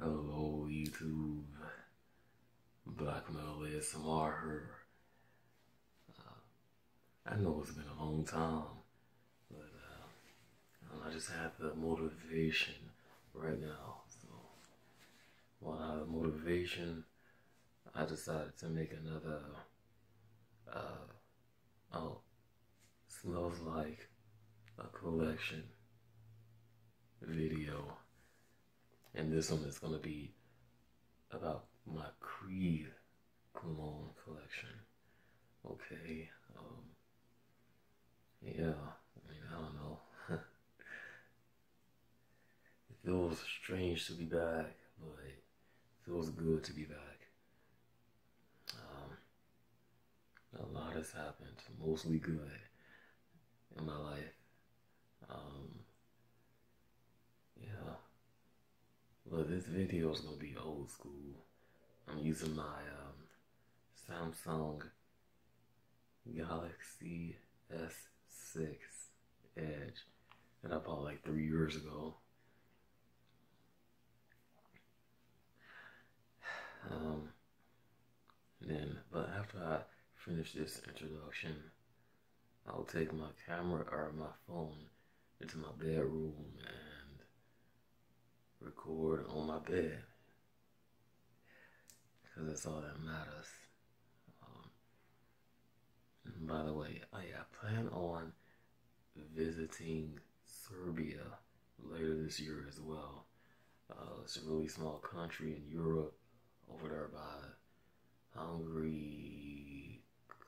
Hello YouTube, Black Metal ASMR uh, I know it's been a long time, but uh, I just have the motivation right now. So while I have the motivation, I decided to make another uh, oh, smells like a collection video. And this one is going to be about my Creed cologne collection. Okay, um, yeah, I mean, I don't know. it feels strange to be back, but it feels good to be back. Um, a lot has happened, mostly good in my life. Um, yeah. Well, this video is gonna be old school. I'm using my um, Samsung Galaxy S6 Edge that I bought like three years ago. Um, then, but after I finish this introduction, I'll take my camera or my phone into my bedroom and record on my bed. Because that's all that matters. Um, by the way, I, I plan on visiting Serbia later this year as well. Uh, it's a really small country in Europe, over there by Hungary,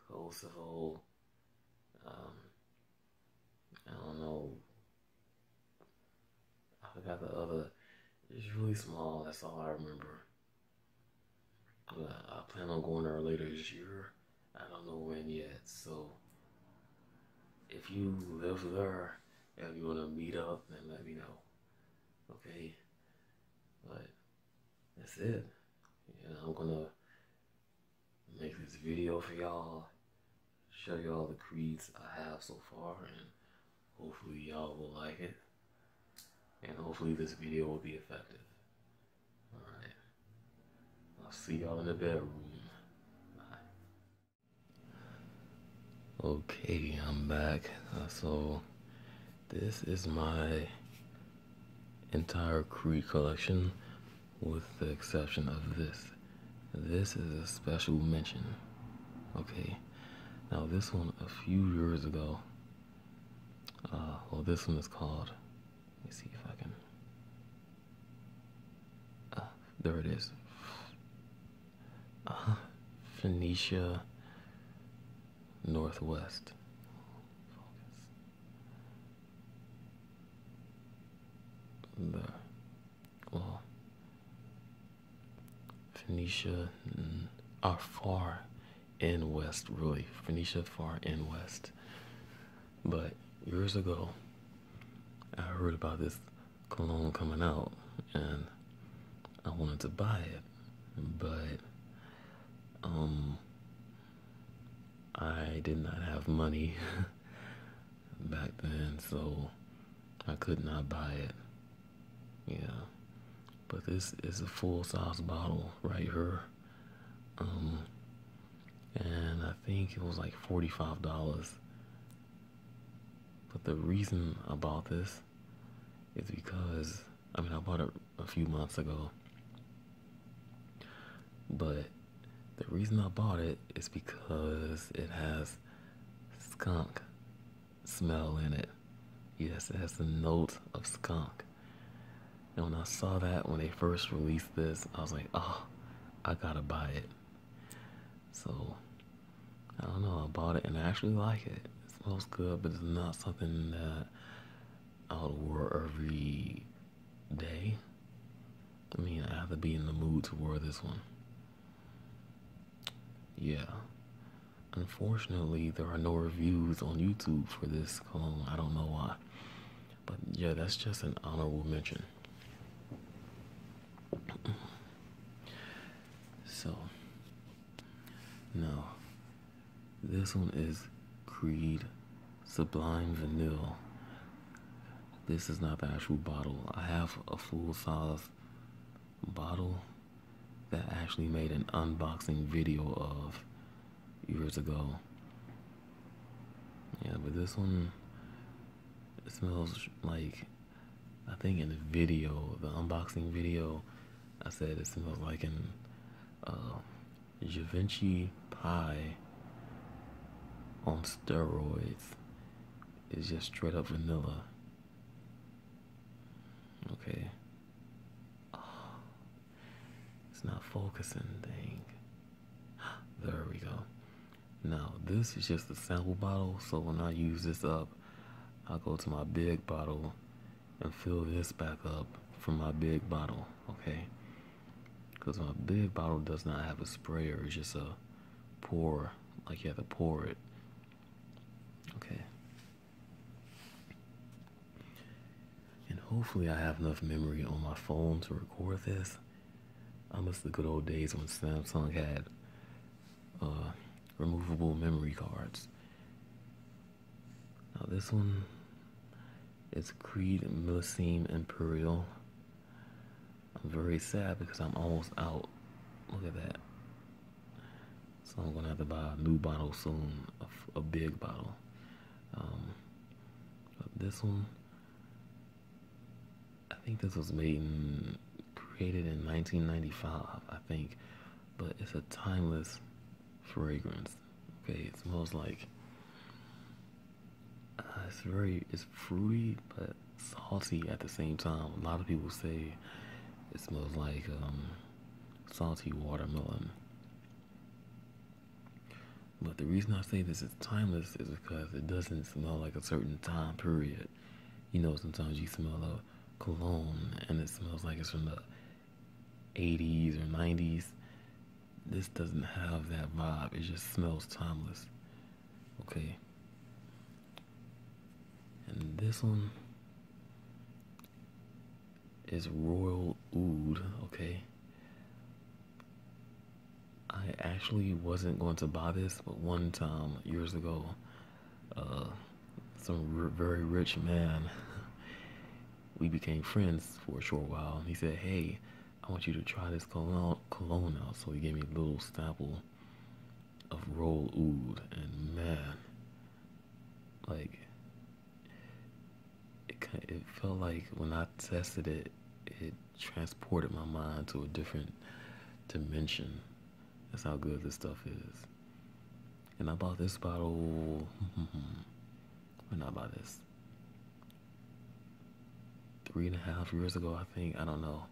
Kosovo. Um, I don't know. I forgot the other. It's really small. That's all I remember. I plan on going there later this year. I don't know when yet, so if you live there and you want to meet up, then let me know. Okay? But that's it. And I'm going to make this video for y'all, show y'all the creeds I have so far, and hopefully y'all will like it. And hopefully this video will be effective. Alright. I'll see y'all in the bedroom. Okay, I'm back. Uh, so, this is my entire Creed collection, with the exception of this. This is a special mention. Okay, now this one a few years ago. Uh, well, this one is called. Let me see if I can. Uh, there it is. Uh, Phoenicia Northwest. Focus. Well, Phoenicia are far in west, really. Phoenicia far in west. But years ago, I heard about this cologne coming out, and I wanted to buy it, but um, I did not have money back then, so I could not buy it. Yeah, but this is a full size bottle right here. Um, and I think it was like $45. But the reason I bought this is because I mean I bought it a few months ago. But the reason I bought it is because it has skunk smell in it. Yes, it has the note of skunk. And when I saw that when they first released this, I was like, oh, I gotta buy it. So I don't know about it, and I actually like it. It smells good, but it's not something that I would wear every day. I mean, I have to be in the mood to wear this one. Yeah. Unfortunately, there are no reviews on YouTube for this cologne. I don't know why. But yeah, that's just an honorable mention. So, now, this one is Creed Sublime Vanilla. This is not the actual bottle. I have a full size bottle that actually made an unboxing video of years ago. Yeah, but this one it smells like, I think in the video, the unboxing video, I said it smells like an uh, Givenchy pie on steroids. It's just straight up vanilla. Okay. it's not focusing, thing. There we go. Now this is just a sample bottle, so when I use this up, I go to my big bottle and fill this back up from my big bottle, okay? Because my big bottle does not have a sprayer, it's just a pour, like you have to pour it. Okay. And hopefully I have enough memory on my phone to record this. I miss the good old days when Samsung had uh, removable memory cards. Now this one is Creed Millicene Imperial. I'm very sad because I'm almost out. Look at that. So I'm gonna have to buy a new bottle soon, a, big bottle. Um, this one I think this was made in, created in 1995, I think, but it's a timeless fragrance. Okay, it smells like uh, it's very it's fruity but salty at the same time. A lot of people say it smells like um, salty watermelon. But the reason I say this is timeless is because it doesn't smell like a certain time period you know, sometimes you smell a cologne and it smells like it's from the 80s or 90s. This doesn't have that vibe, it just smells timeless. Okay. And this one is Royal Oud, okay? I actually wasn't going to buy this, but one time years ago, uh, some very rich man, we became friends for a short while, and he said, "Hey, I want you to try this cologne, out." So he gave me a little sample of roll oud, and man, like it, it felt like when I tested it, it transported my mind to a different dimension. That's how good this stuff is. And I bought this bottle. when I bought this, three and a half years ago, I think. I don't know.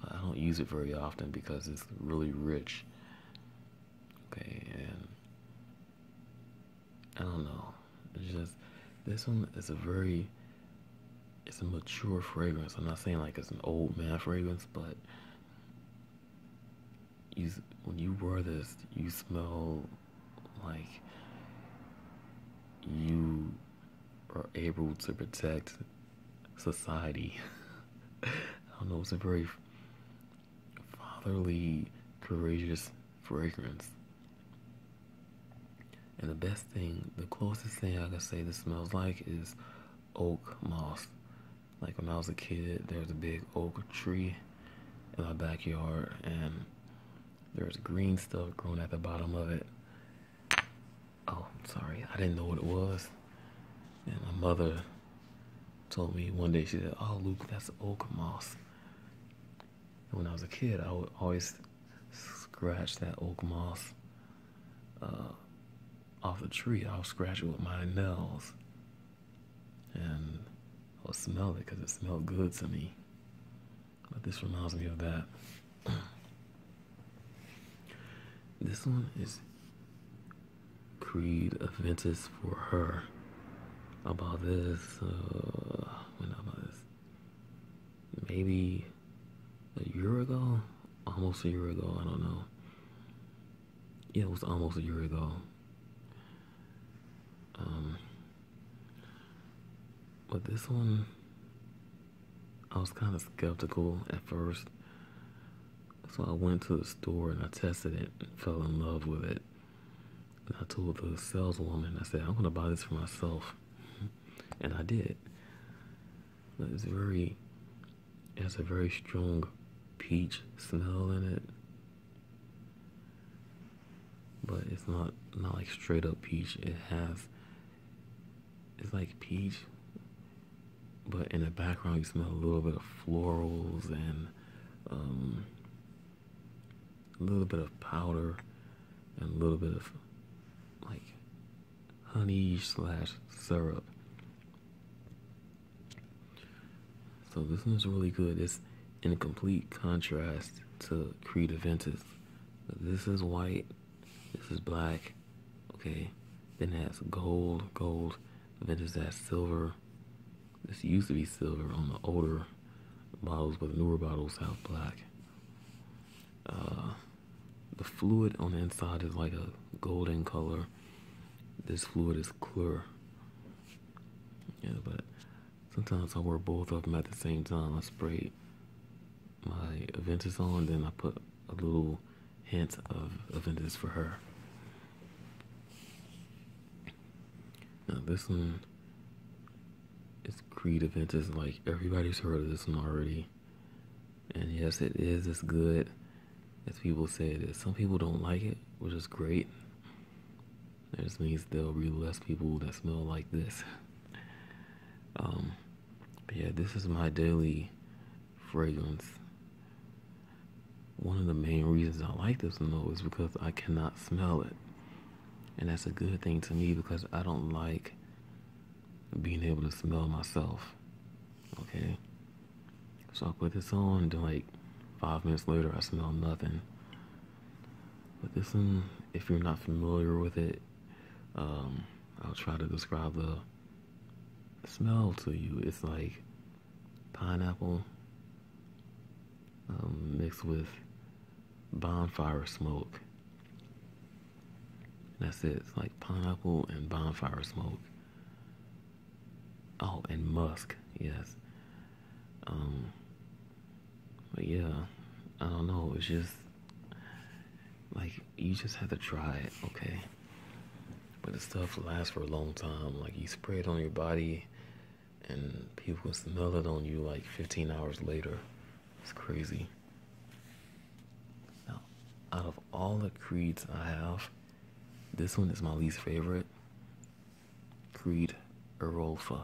But I don't use it very often because it's really rich. Okay, and I don't know. just, this one is a very it's a mature fragrance. I'm not saying like it's an old man fragrance, but you when you wear this, you smell like you are able to protect society. I don't know, it's a very fatherly, courageous fragrance. And the best thing, the closest thing I can say this smells like is oak moss. Like when I was a kid, there was a big oak tree in my backyard, and there was green stuff growing at the bottom of it. Oh, sorry, I didn't know what it was. And my mother told me one day, she said, Oh, Luke, that's oak moss. And when I was a kid, I would always scratch that oak moss uh, off the tree. I'll scratch it with my nails and I'll smell it because it smelled good to me. But this reminds me of that. this one is Creed Aventus for her. About this, uh, about this, maybe a year ago, almost a year ago, I don't know. Yeah, it was almost a year ago. Um, but this one, I was kind of skeptical at first. So I went to the store and I tested it and fell in love with it. And I told the saleswoman, I said, I'm going to buy this for myself. And I did. It's very, it has a very strong peach smell in it. But it's not, not like straight up peach. It has, it's like peach, but in the background you smell a little bit of florals and um, a little bit of powder and a little bit of like honey slash syrup. So this one's really good. It's in complete contrast to Creed Aventus. This is white. This is black. Okay. Then that's gold, gold. Aventus has silver. This used to be silver on the older bottles, but the newer bottles have black. Uh, the fluid on the inside is like a golden color. This fluid is clear. Yeah, but sometimes I wear both of them at the same time. I spray my Aventus on, then I put a little hint of Aventus for her. Now this one is Creed Aventus. Like everybody's heard of this one already. And yes, it is as good as people say it is. Some people don't like it, which is great. That just means there'll be less people that smell like this. Um, yeah, this is my daily fragrance. One of the main reasons I like this one is because I cannot smell it. And that's a good thing to me because I don't like being able to smell myself. Okay? So I put this on, and like five minutes later, I smell nothing. But this one, if you're not familiar with it, um, I'll try to describe the smell to you. It's like pineapple um, mixed with bonfire smoke that's it. It's like pineapple and bonfire smoke. Oh, and musk, yes. Um, but yeah, I don't know. It's just like you just have to try it, okay? But the stuff lasts for a long time. Like you spray it on your body, and people can smell it on you like 15 hours later. It's crazy. Now, out of all the creeds I have, this one is my least favorite. Creed Erolfa.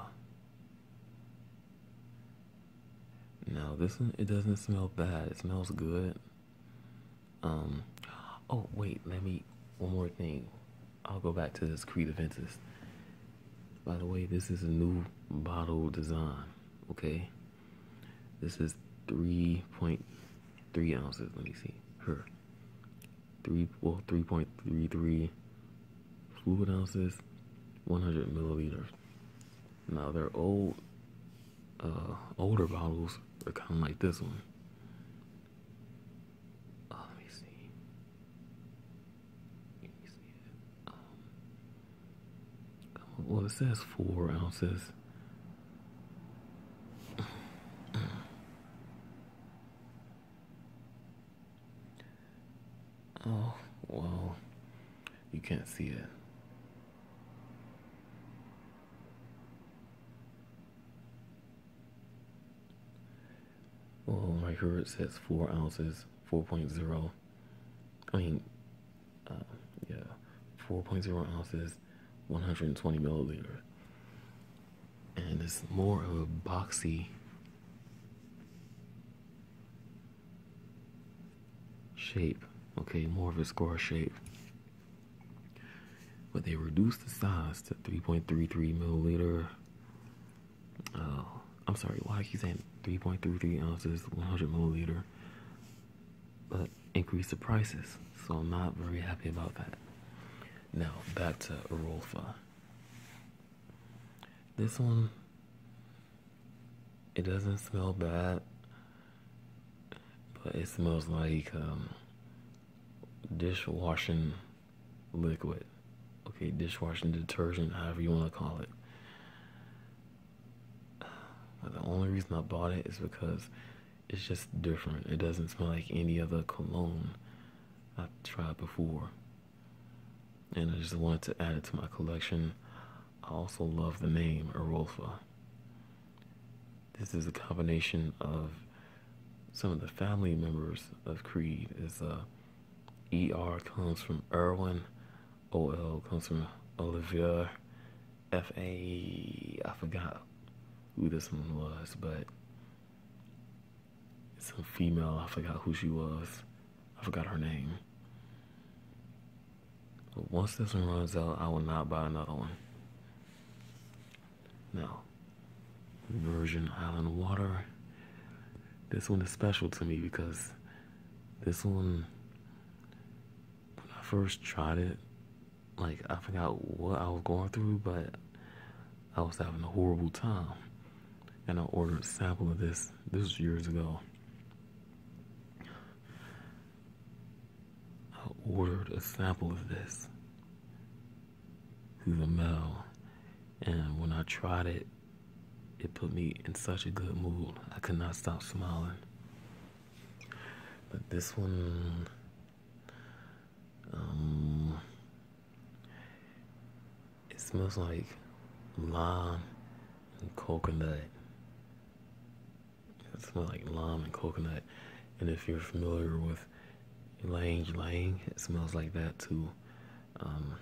Now this one it doesn't smell bad. It smells good. Um oh wait, let me one more thing. I'll go back to this Creed Aventus. By the way, this is a new bottle design, okay? This is 3.3 ounces. Let me see. Her. Three well 3.33 fluid ounces, 100 milliliters. Now their old uh, older bottles are kind of like this one. Uh, let me see. Let me see um, well, it says four ounces. Oh, well, you can't see it. Well, I heard it says four ounces, four point zero. I mean, uh, yeah, 4.0 ounces, 120 milliliter, and it's more of a boxy shape. Okay, more of a square shape, but they reduced the size to 3.33 milliliter. Uh, I'm sorry, why are you saying 3.33 ounces, 100 milliliter? but increase the prices. So I'm not very happy about that. Now back to Arolfa. This one, it doesn't smell bad, but it smells like um, dishwashing liquid. Okay, dishwashing detergent, however you want to call it the only reason I bought it is because it's just different. It doesn't smell like any other cologne I've tried before. And I just wanted to add it to my collection. I also love the name Erolfa. This is a combination of some of the family members of Creed. Is uh, ER comes from Erwin, OL comes from Olivia, F A. I forgot who this one was, but it's a female. I forgot who she was. I forgot her name. But once this one runs out, I will not buy another one. Now, Virgin Island Water. This one is special to me because this one when I first tried it, like I forgot what I was going through, but I was having a horrible time. And I ordered a sample of this this was years ago. I ordered a sample of this through the mail. And when I tried it, it put me in such a good mood. I could not stop smiling. But this one, um, it smells like lime and coconut. It smells like lime and coconut. And if you're familiar with Lang Lang, it smells like that too. Um,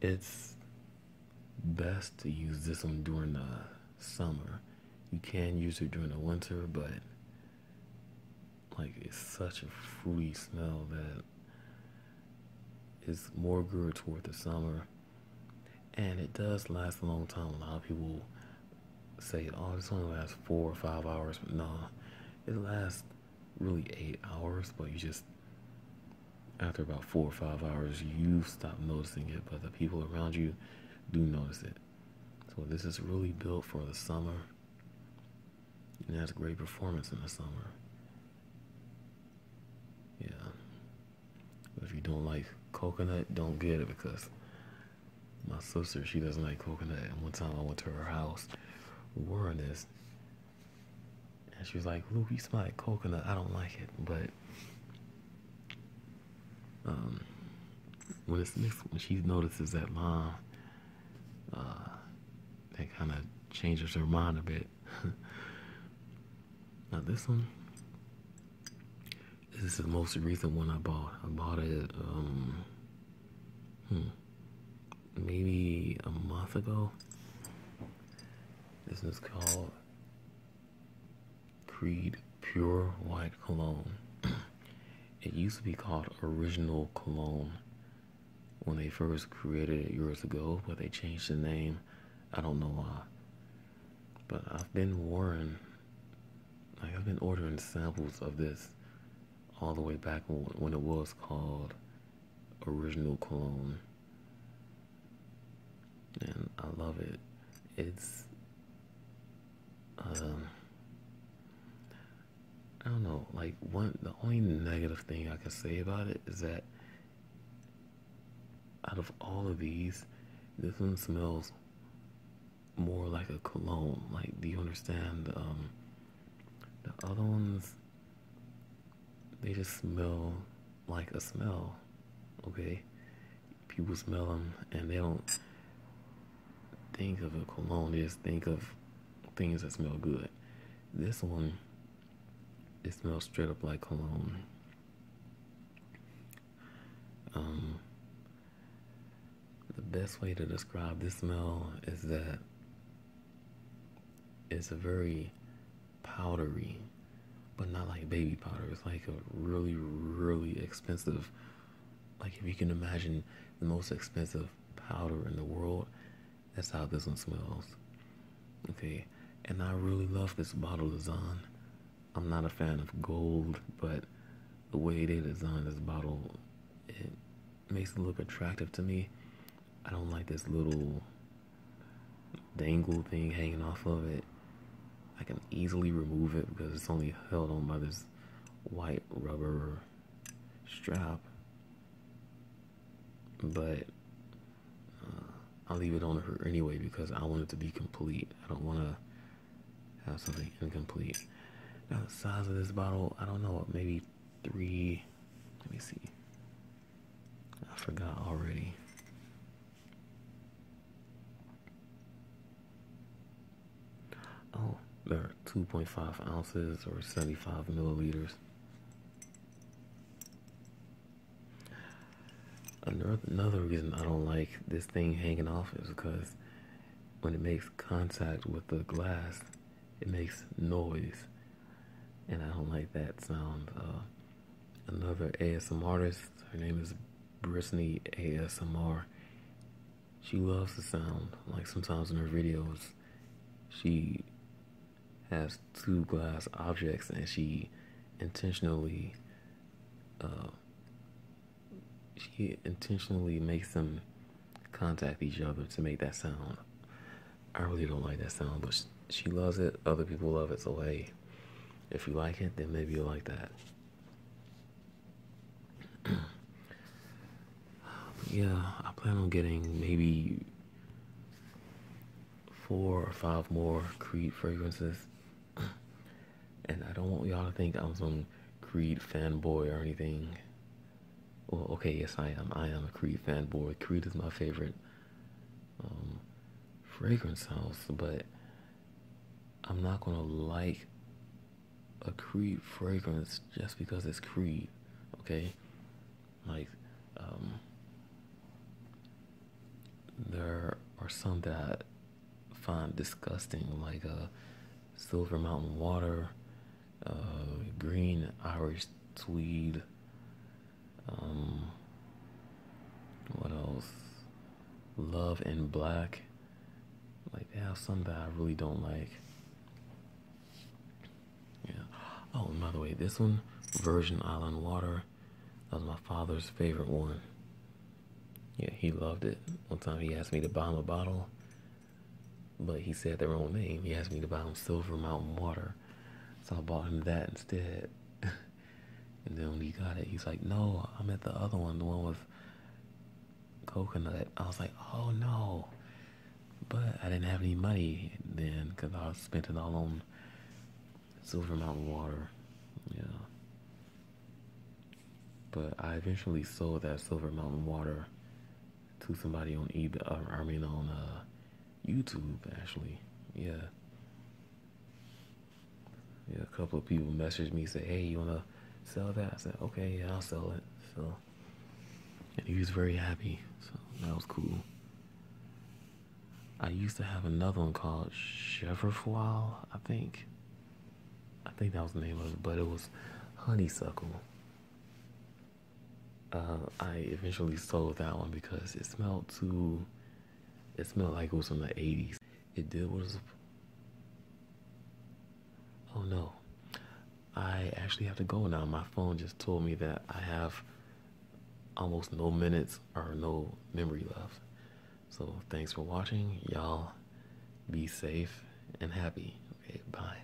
it's best to use this one during the summer. You can use it during the winter, but like it's such a fruity smell that it's more good toward the summer. And it does last a long time. A lot of people say, oh, this only lasts four or five hours, but no, it lasts really eight hours, but you just after about four or five hours you stop noticing it, but the people around you do notice it. So this is really built for the summer. And has a great performance in the summer. Yeah. But if you don't like coconut, don't get it because my sister, she doesn't like coconut. And one time I went to her house wearing this and she was like, "Look, you smell like coconut. I don't like it, but um, when it's when she notices that mom, uh, that kind of changes her mind a bit. now this one, this is the most recent one I bought. I bought it, um, hmm, maybe a month ago. This is called Creed Pure White Cologne. it used to be called Original Cologne when they first created it years ago, but they changed the name. I don't know why. But I've been wearing. like I've been ordering samples of this all the way back when it was called original cologne, and I love it. It's um I don't know, like one the only negative thing I can say about it is that out of all of these, this one smells more like a cologne. Like do you understand? Um, the other ones they just smell like a smell, okay? People smell them and they don't think of a cologne, they just think of things that smell good. This one, it smells straight up like cologne. Um, the best way to describe this smell is that it's a very powdery, but not like baby powder. It's like a really, really expensive. Like if you can imagine the most expensive powder in the world, that's how this one smells. Okay, and I really love this bottle design. I'm not a fan of gold, but the way they designed this bottle, makes it look attractive to me. I don't like this little dangle thing hanging off of it. I can easily remove it because it's only held on by this white rubber strap. But uh, I'll leave it on her anyway because I want it to be complete. I don't want to have something incomplete. Now the size of this bottle, I don't know, maybe three, let me see, I forgot already. Oh, there are 2.5 ounces or 75 milliliters. Another reason I don't like this thing hanging off is because when it makes contact with the glass, it makes noise, and I don't like that sound. Uh, another ASMR artist, her name is Brittany ASMR. She loves the sound. Like sometimes in her videos, she has two glass objects and she intentionally uh, she intentionally makes them contact each other to make that sound. I really don't like that sound, but she loves it. Other people love it, so hey, if you like it, then maybe you'll like that. yeah, I plan on getting maybe four or five more Creed fragrances, and I don't want y'all to think I'm some Creed fanboy or anything. Well, okay, yes, I am. I am a Creed fanboy. Creed is my favorite um, fragrance house, but I'm not gonna like a Creed fragrance just because it's Creed. Okay, like um, there are some that I find disgusting, like uh, Silver Mountain Water, uh, Green Irish Tweed. Um, what else? Love in Black. Like they have some that I really don't like. Yeah. Oh, and by the way, this one, Virgin Island Water, that was my father's favorite one. Yeah, he loved it. One time he asked me to buy him a bottle, but he said the wrong name. He asked me to buy him Silver Mountain Water. So I bought him that instead. and then when he got it, he's like, No, I'm the other one, the one with coconut. I was like, Oh no. But I didn't have any money then because I spent it all on Silver Mountain Water. Yeah. But I eventually sold that Silver Mountain Water to somebody on eBay, I mean on uh, YouTube actually. Yeah. Yeah, a couple of people messaged me say, "Hey, you wanna sell that?" I said, "Okay, yeah, I'll sell it." So, and he was very happy. So that was cool. I used to have another one called Chevrofoil, I think. I think that was the name of it, but it was honeysuckle. Uh, I eventually sold that one because it smelled too. It smelled like it was from the 80s. It did was. Oh no. I actually have to go now. My phone just told me that I have almost no minutes or no memory left. So thanks for watching. Y'all be safe and happy. Okay, bye.